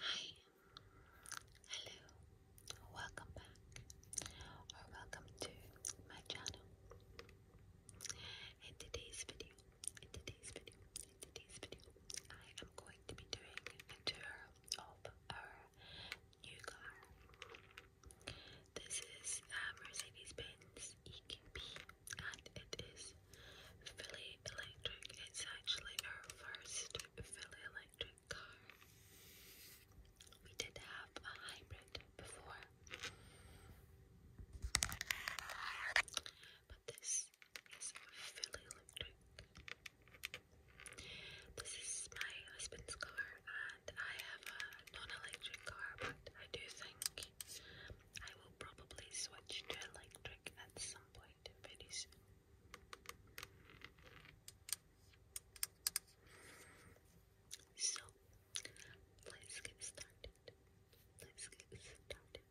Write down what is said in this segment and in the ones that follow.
Hi, hello, welcome back or welcome to my channel. In today's video, in today's video, in today's video, I am going to be doing a tour of our new car. This is a uh, Mercedes Benz EQP and it is Philly Electric. It's actually our first Philly Electric car. We did have a hybrid before, but this is Philly Electric. This is my husband's car, and I have a non electric car, but I do think I will probably switch to electric at some point very soon. So, let's get started. Let's get started.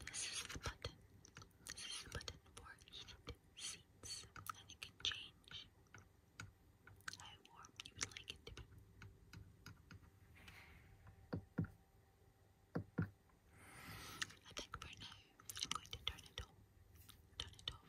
This is the button. This is the button for heated seats, and it can change. I you think for now I'm going to turn it off. Turn it off.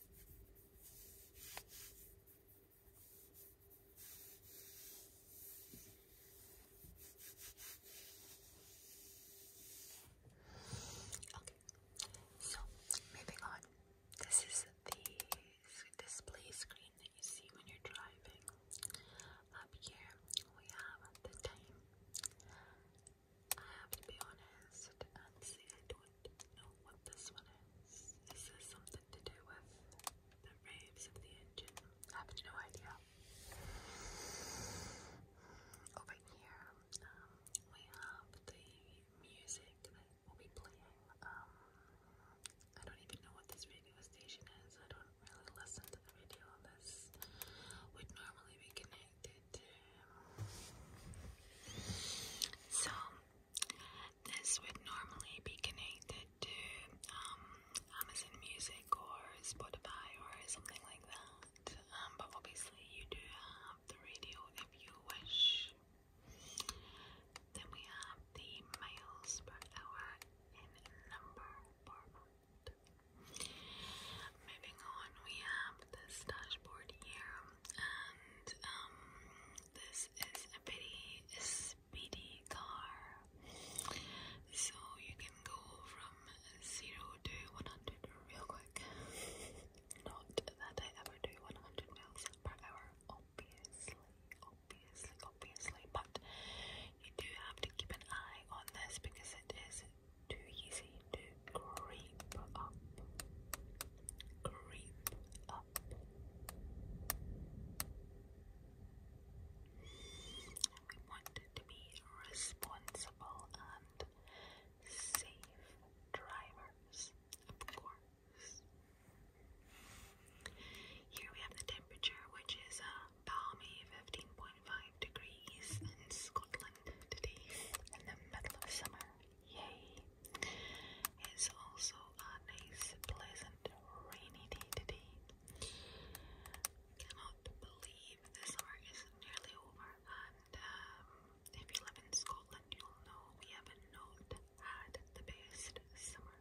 Okay, so moving on. This is the display screen that you see when you're driving. Up here we have the time, I have to be honest, Nancy, I don't know what this one is. Is this something to do with the raves of the engine? have no idea. Over here, um, we have the music that we'll be playing. Um, I don't even know what this radio station is. I don't really listen to the radio. This would normally be connected connected So, this would normally be connected to um, Amazon Music or Spotify or something like that. Um, but obviously, you do have the radio if you wish. Then we have the miles per hour in number format. Moving on, we have this dashboard here and um, this is a pretty speedy car, so you can go from zero to one hundred real quick. Not that I ever do one hundred miles per hour, obviously, obviously, obviously, but you do have to keep an eye on this because it is too easy to creep up. Creep up. We want to be responsible and safe drivers, of course. Here we have the temperature, which is a uh, balmy 15.5 degrees in Scotland today, in the middle of summer. Yay! It's also a nice, pleasant, rainy day today. Cannot believe the summer is nearly over, and um, if you live in Scotland, you'll know we have not had the best summer.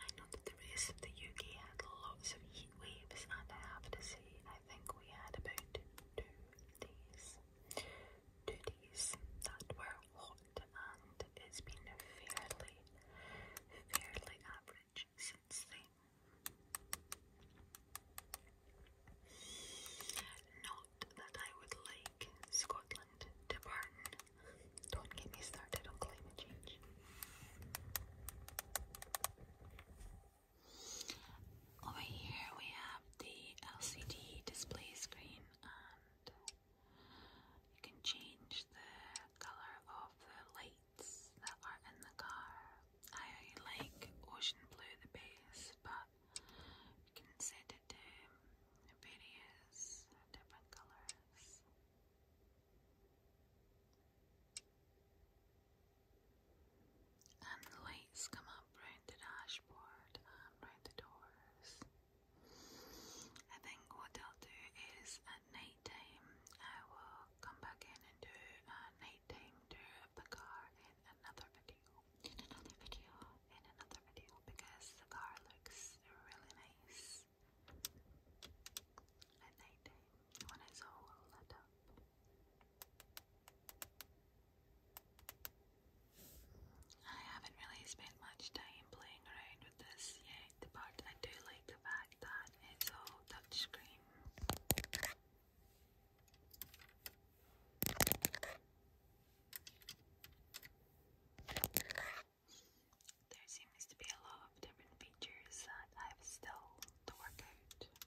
I know that the rest of the UK had lots of heat and I have to say, I think we had about two days, two days that were hot, and it's been fairly, fairly average since then. Not that I would like Scotland to burn. Don't get me started on climate change. Over here we have the LCD display screen and you can change the colour of the lights that are in the car. I like ocean blue the best but you can set it to various different colours. And the lights come up round the dashboard and round the doors. I think what I'll do is at night time I will come back in and do a night time tour of the car in another video. In another video, in another video because the car looks really nice at night time when it's all lit up. I haven't really spent much time playing around with this yet, but I do like the fact that it's all touchscreen. There seems to be a lot of different features that I've still to work out.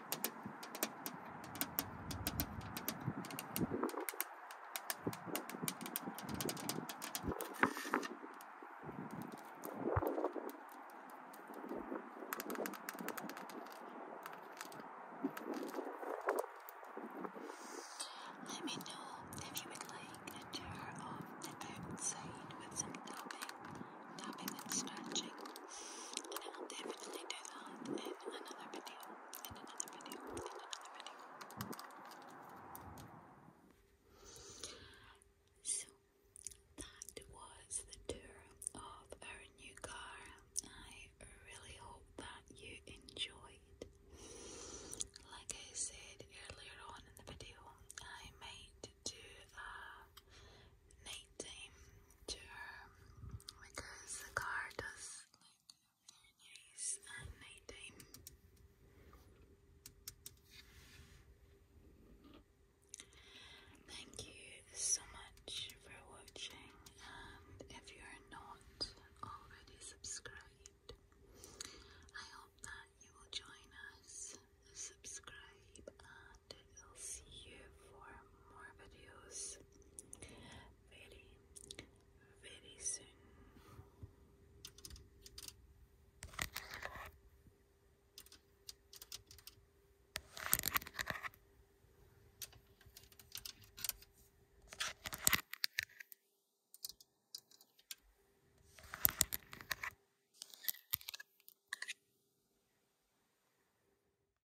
Let me know if you would like a tour of the outside with some tapping, tapping and scratching, and I'll definitely do that in another video in So that was the tour of our new car. I really hope that you enjoyed. Like I said earlier on in the video, I might do a night night because the car does use at night time. Thank you so much for watching, and if you are not already subscribed, I hope that you will join us, subscribe, and I'll see you for more videos very, very soon.